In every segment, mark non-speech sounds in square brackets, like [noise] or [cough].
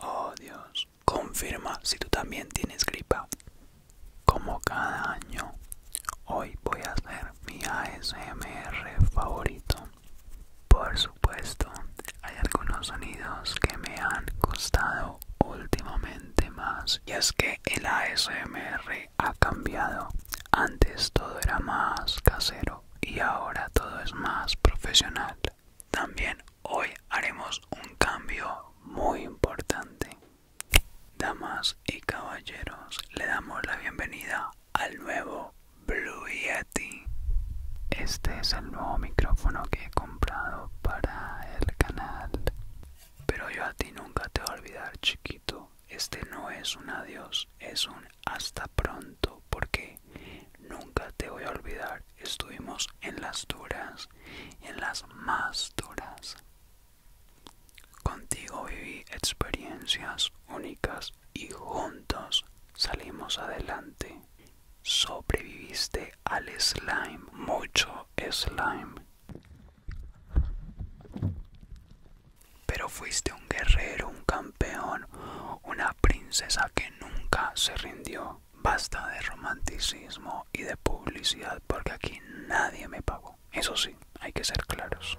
Oh Dios, confirma si tú también tienes gripa. Como cada año, hoy voy a hacer mi ASMR favorito. Por supuesto, hay algunos sonidos que me han costado últimamente más. Y es que el ASMR ha cambiado. Antes todo era más casero, y ahora todo es más profesional. También hoy haremos un cambio muy importante. Damas y caballeros, le damos la bienvenida al nuevo Blue Yeti. Este es el nuevo micrófono que he comprado para el canal. Pero yo a ti nunca te voy a olvidar, chiquito. Este no es un adiós es un hasta pronto porque nunca te voy a olvidar. Estuvimos en las duras, en las más duras. Contigo viví experiencias únicas y juntos salimos adelante. Sobreviviste al slime, mucho slime pero fuiste un guerrero, un campeón, una princesa que nunca se rindió. Basta de romanticismo y de publicidad porque aquí nadie me pagó. Eso sí, hay que ser claros.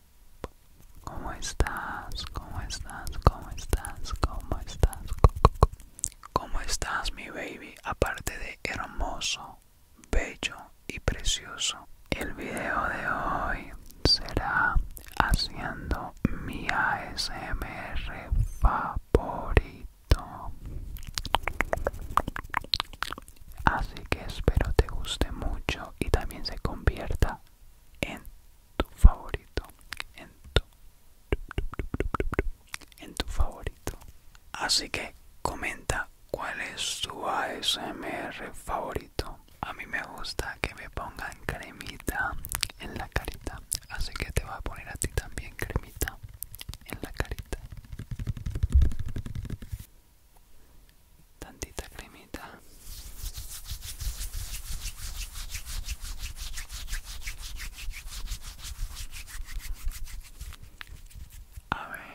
¿Cómo estás? ¿Cómo estás? ¿Cómo estás? ¿Cómo estás? ¿Cómo estás, mi baby? Aparte de hermoso, bello y precioso, el video de hoy será haciendo mi ASMR favorito. Así que espero te guste mucho y también se convierta en tu favorito. En tu, favorito. Así que comenta cuál es tu ASMR favorito. A mí me gusta que me pongan cremita en la carita. Así que te voy a poner a ti también cremita en la carita tantita cremita a ver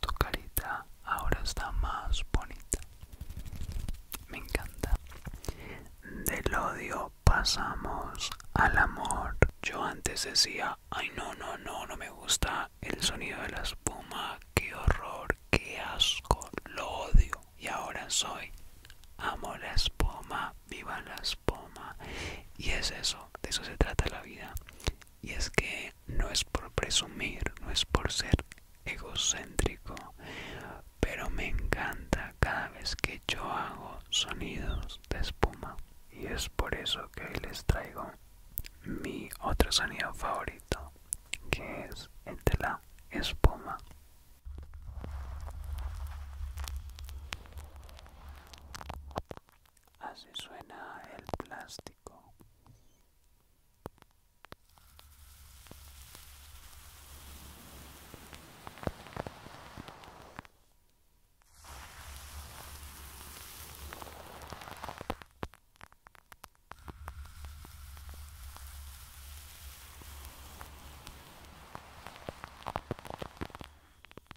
Tu carita ahora está más bonita. Me encanta. Del odio pasamos al amor. Yo antes decía, ay no, no, no, no me gusta el sonido de la espuma. Qué horror, qué asco, lo odio. Y ahora soy, amo la espuma, viva la espuma. Y es eso, de eso se trata la vida. Y es que no es por presumir, no es por ser egocéntrico, pero me encanta cada vez que yo hago sonidos de espuma. Y es por eso que hoy les traigo mi otro sonido favorito, que es el de la espuma. Así suena el plástico.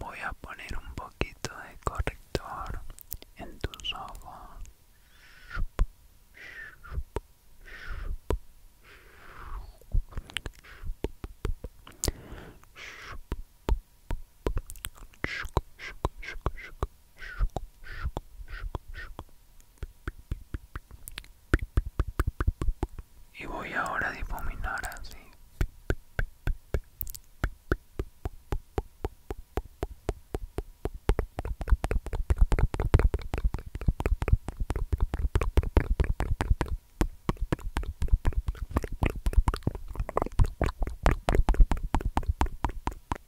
Voy a poner un poquito de corrector en tus ojos y voy ahora a difuminar así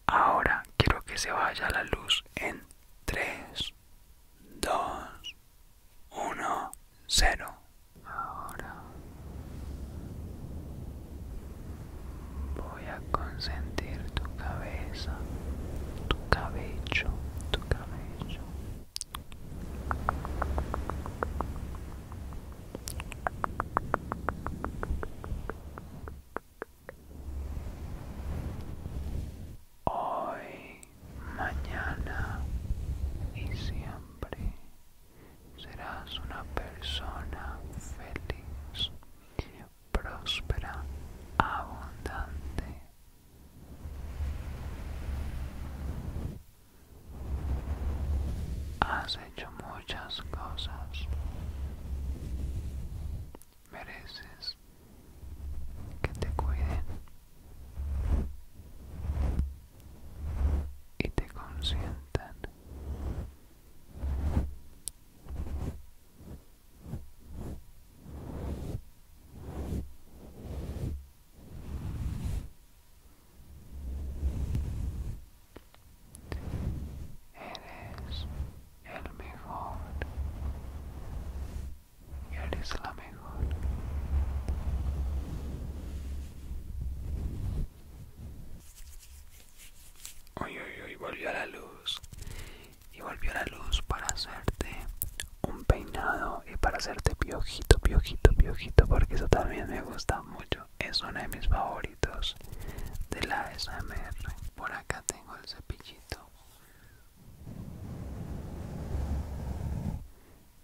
Ahora quiero que se vaya la luz en tres, Dos, uno, cero. Ahora voy a consentir tu cabeza, tu cabello, tu cabello. Hoy, mañana y siempre serás una persona feliz, próspera, abundante. Has hecho muchas cosas. Mereces que te cuiden y te consientan. Eres el mejor y Eres la mejor. Uy, uy, uy, volvió a la luz. Y volvió a la luz para hacerte un peinado y para hacerte piojito, piojito, piojito, porque eso también me gusta mucho. Es uno de mis favoritos de la SMR. Por acá tengo el cepillito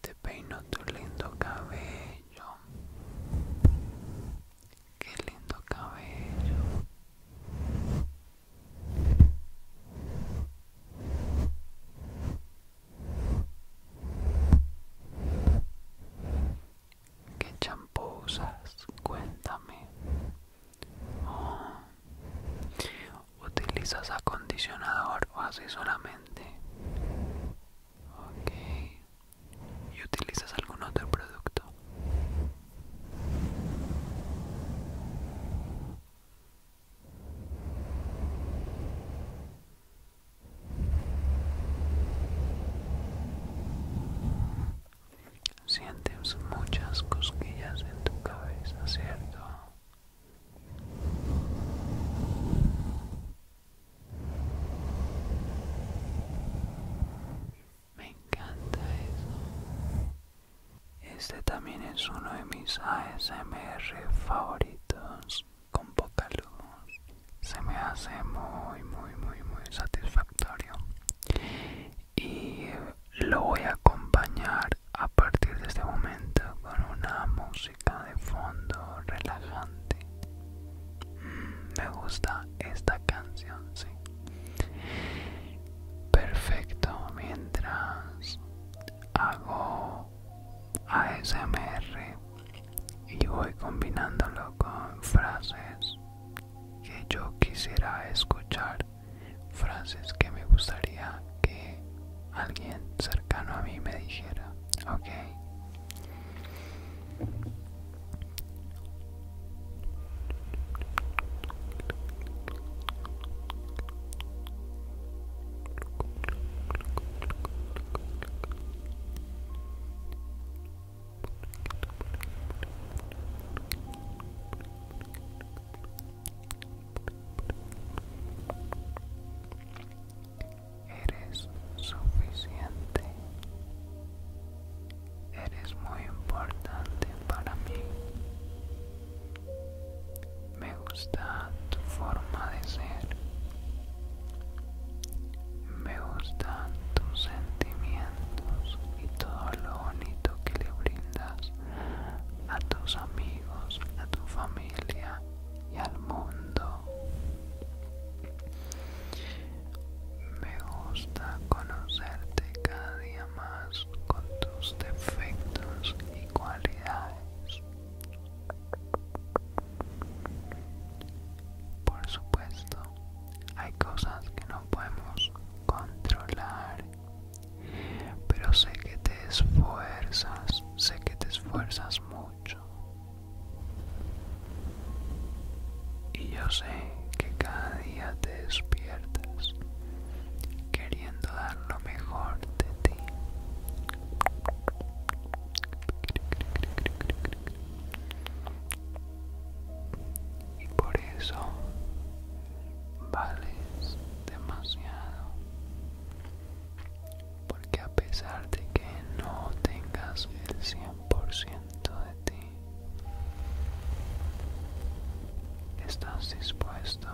te peino tu lindo cabello. Qué lindo cabello. ¿Qué champosas Cuéntame. Oh. ¿Utilizas acondicionador o así solamente? Ok. ¿Y utilizas algún otro producto? Sientes muchas cosquillas en tu cabeza, ¿cierto? Me encanta eso. Este también es uno de mis ASMR favoritos con poca luz. Se me hace muy, muy, muy, muy satisfactorio. Y lo voy a acompañar a partir de este momento con una música de fondo relajante. Mm, me gusta esta canción, sí. Perfecto, mientras hago ASMR y voy combinándolo con frases que yo quisiera escuchar frases que me gustaría que alguien cercano a mí me dijera, okay. Eres suficiente. Eres muy importante para mí. Me gusta tu forma de ser. Me gustan tus sentimientos y todo lo bonito que le brindas a tus amigos, a tu familia y al mundo. Me gusta conocerte cada día más con tus defectos y cualidades. Por supuesto, hay cosas que no podemos controlar pero sé que te esfuerzas, sé que te esfuerzas mucho. Y yo sé que cada día te despiertas queriendo dar lo mejor de ti. Y por eso vales demasiado porque a pesar de que no tengas el 100% de ti, estás dispuesto,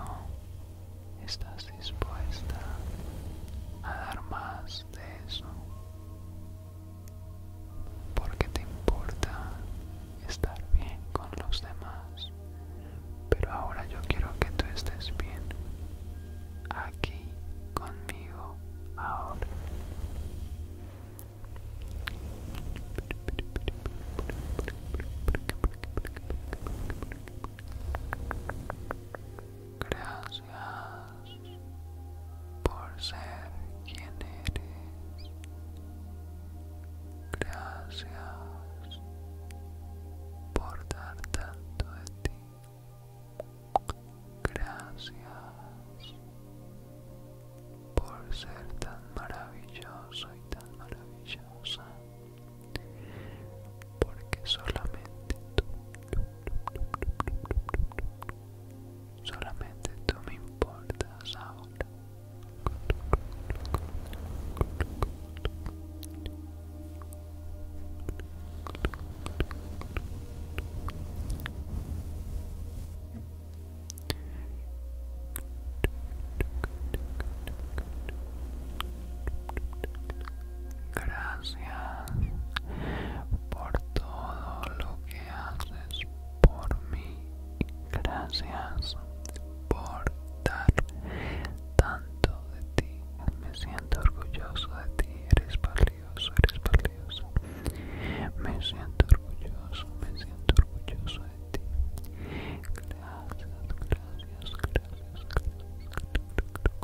estás dispuesta a dar más de eso, porque te importa estar bien con los demás pero ahora yo quiero que tú estés bien aquí conmigo ahora Gracias por ser quien eres. Gracias por dar tanto de ti. Gracias por ser tan maravilloso y tan maravillosa. Porque solamente tú, solamente tú me importas ahora. Gracias por todo lo que haces por mí. Gracias dar tanto de ti. Me siento orgulloso de ti. Eres valioso, eres valioso. Me siento orgulloso, me siento orgulloso de ti. Gracias, gracias, gracias,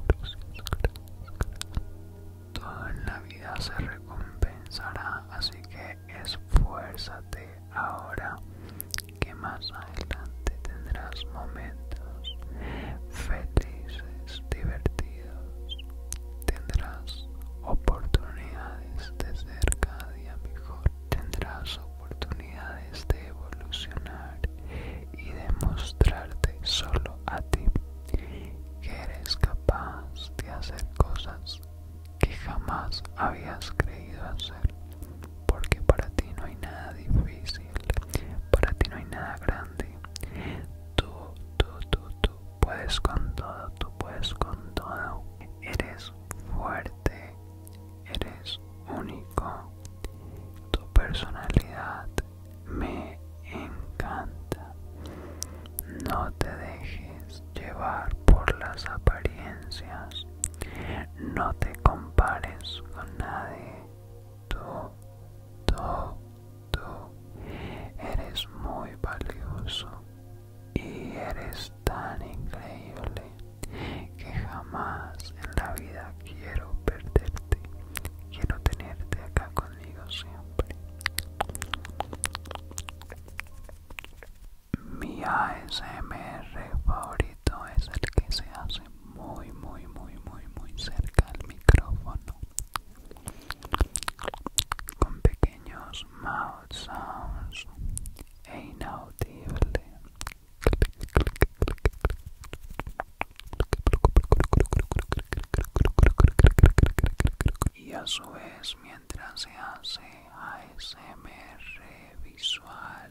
gracias, gracias. Todo en la vida se recompensará, así que esfuérzate ahora que más adelante tendrás momentos felices, divertidos, tendrás oportunidades de ser cada día mejor, tendrás oportunidades de evolucionar y demostrarte solo a ti que eres capaz de hacer cosas que jamás habías creído hacer porque para ti no hay nada difícil, para ti no hay nada grande. Tú, tú, tú, tú puedes con todo, tú puedes con todo. Eres fuerte, eres único. Tu personalidad me encanta. No te dejes llevar por las apariencias. No te compares con nadie. Tú, tú, tú eres muy valioso y eres tan increíble que jamás en la vida quiero perderte. Quiero tenerte acá conmigo siempre. Mi ASMR favorito esto es el que se hace muy muy muy muy muy cerca al micrófono con pequeños mouth sounds e inaudible y a su vez mientras se hace ASMR visual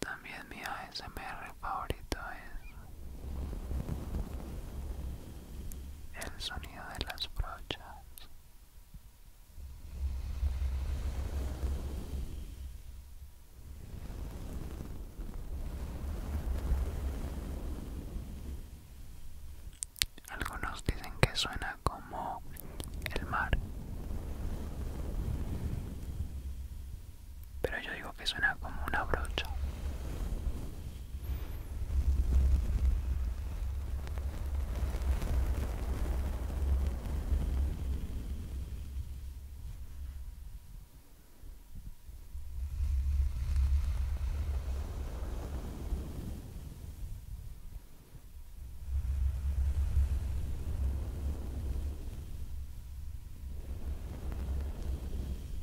También mi ASMR favorito es el sonido de las brochas algunos dicen que suena como el mar pero yo digo que suena como una brocha.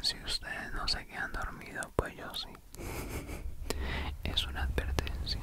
Si ustedes no se quedan dormidos, pues yo sí. [laughs] es una advertencia.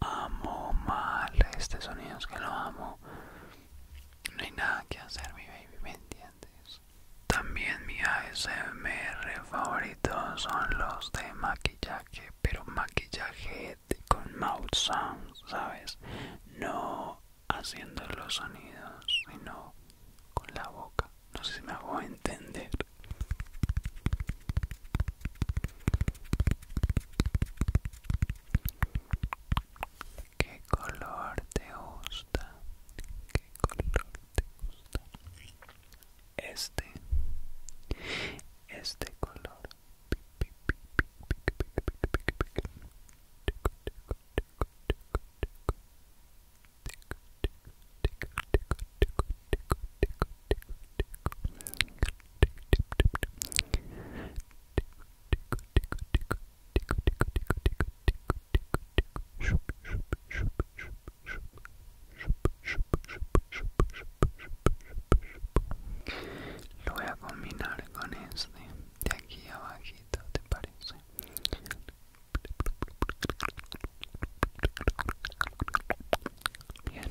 Amo mal este sonido, que lo amo. No hay nada que hacer, mi baby, ¿me entiendes? También mi ASMR favorito son los de maquillaje, pero maquillaje con mouth sounds, ¿sabes? No haciendo los sonidos, sino con la boca. No sé si me hago entender. ¿Qué color te gusta? ¿Qué color te gusta? este este color lo voy a combinar con este de aquí abajito, ¿te parece? Bien.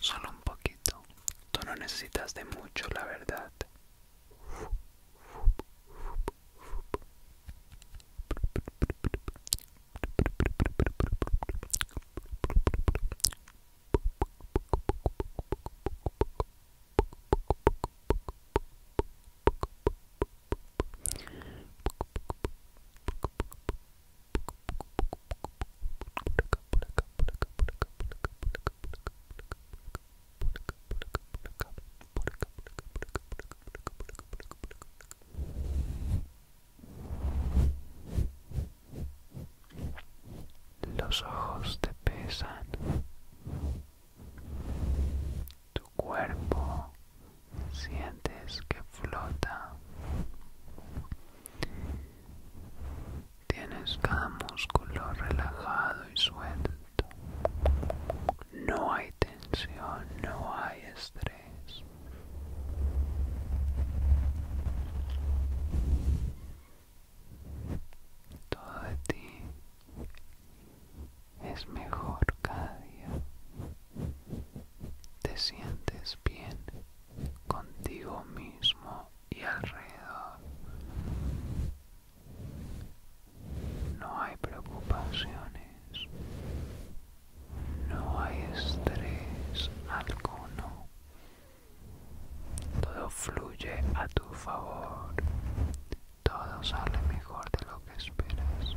Solo un poquito. Tú no necesitas de mucho, la verdad. Los ojos te pesan. Tu cuerpo sientes que flota. Tienes cada músculo relajado y suelto. No hay tensión, no hay estrés. Todo de ti es mejor cada día. Te sientes bien contigo mismo y alrededor. No hay preocupaciones, no hay estrés alguno. Todo fluye a tu favor, todo sale mejor de lo que esperas.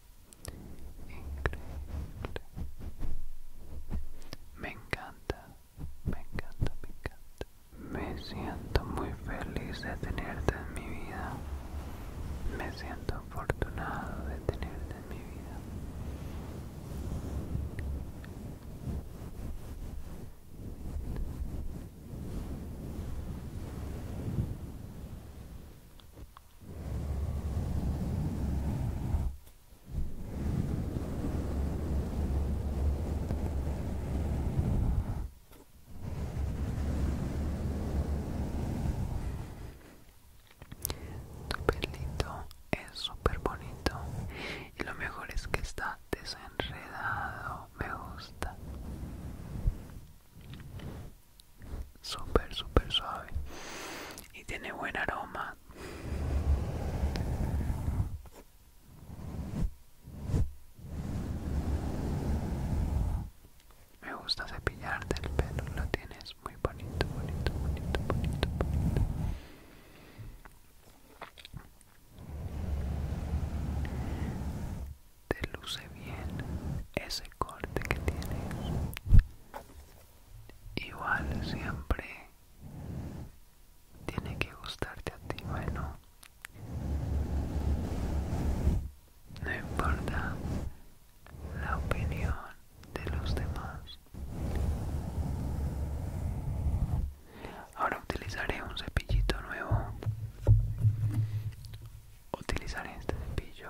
Increíble. Me encanta, me encanta, me encanta. Me siento muy feliz de tenerte en mi vida. Me siento afortunado de tenerte en mi vida. Tu pelito es súper bonito y lo mejor es que está desenredado, me gusta súper súper suave y tiene buen aroma me gusta cepillarte el pelo lo tienes muy bonito bonito bonito bonito bonito te luce bien ese corte que tienes igual siempre tiene que gustarte a ti bueno no importa la opinión de los demás ahora utilizaré un cepillito nuevo utilizar este cepillo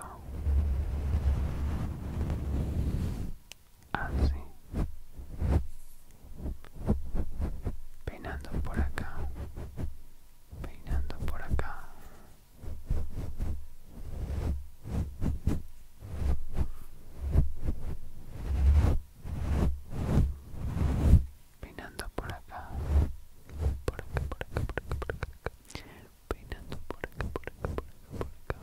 así peinando por acá peinando por acá peinando por acá por acá por acá por acá por acá peinando por acá, por acá, por acá, por acá.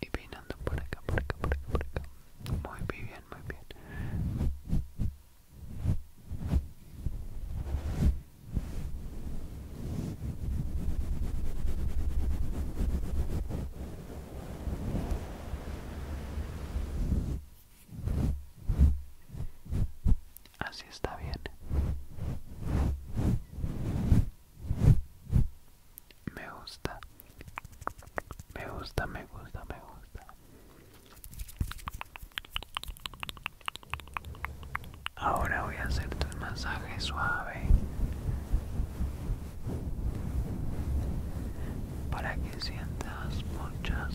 Y peinando por acá, por acá, por acá, por acá. Muy bien, muy bien. Así está bien. Me gusta. Me gusta, me gusta, me gusta. Ahora voy a hacerte un masaje suave para que sientas muchas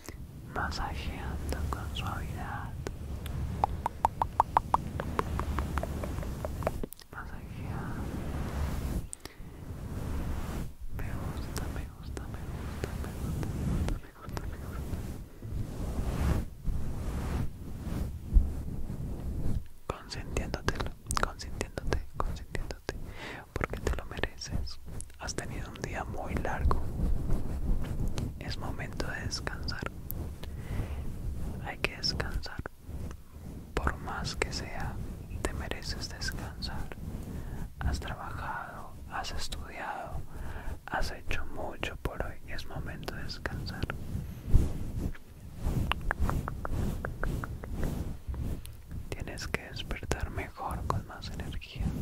masajeando con suavidad masajeando me gusta me gusta me gusta me gusta me gusta me gusta me gusta consintiéndotelo consintiéndote consintiéndote porque te lo mereces Has tenido un día muy largo. Es momento de descansar. Hay que descansar. Por más que sea, te mereces descansar. Has trabajado, has estudiado, has hecho mucho por hoy. Es momento de descansar. Tienes que despertar mejor, con más energía. Muy bien,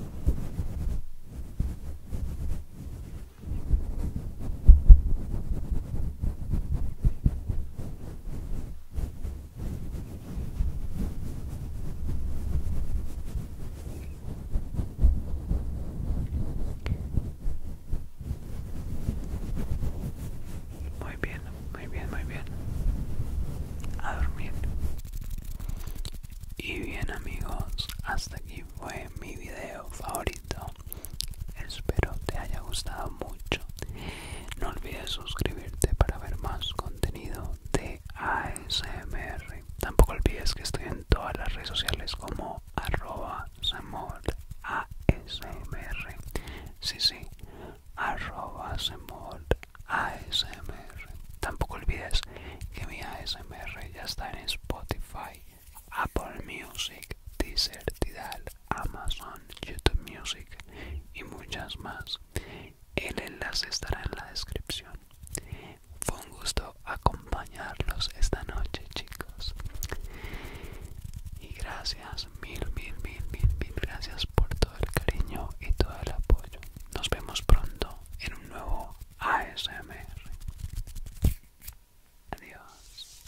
muy bien, muy bien. A dormir. Y bien amigos, hasta aquí fue mi video favorito. Espero te haya gustado mucho. No olvides suscribirte para ver más contenido de ASMR. Tampoco olvides que estoy en todas las redes sociales como arroba ASMR. Sí, sí, arroba ASMR. Tampoco olvides que mi ASMR ya está en Spotify, Apple Music, Deezer, Amazon, YouTube Music y muchas más. El enlace estará en la descripción. Fue un gusto acompañarlos esta noche, chicos. Y gracias, mil, mil, mil, mil, mil gracias por todo el cariño y todo el apoyo. Nos vemos pronto en un nuevo ASMR. Adiós.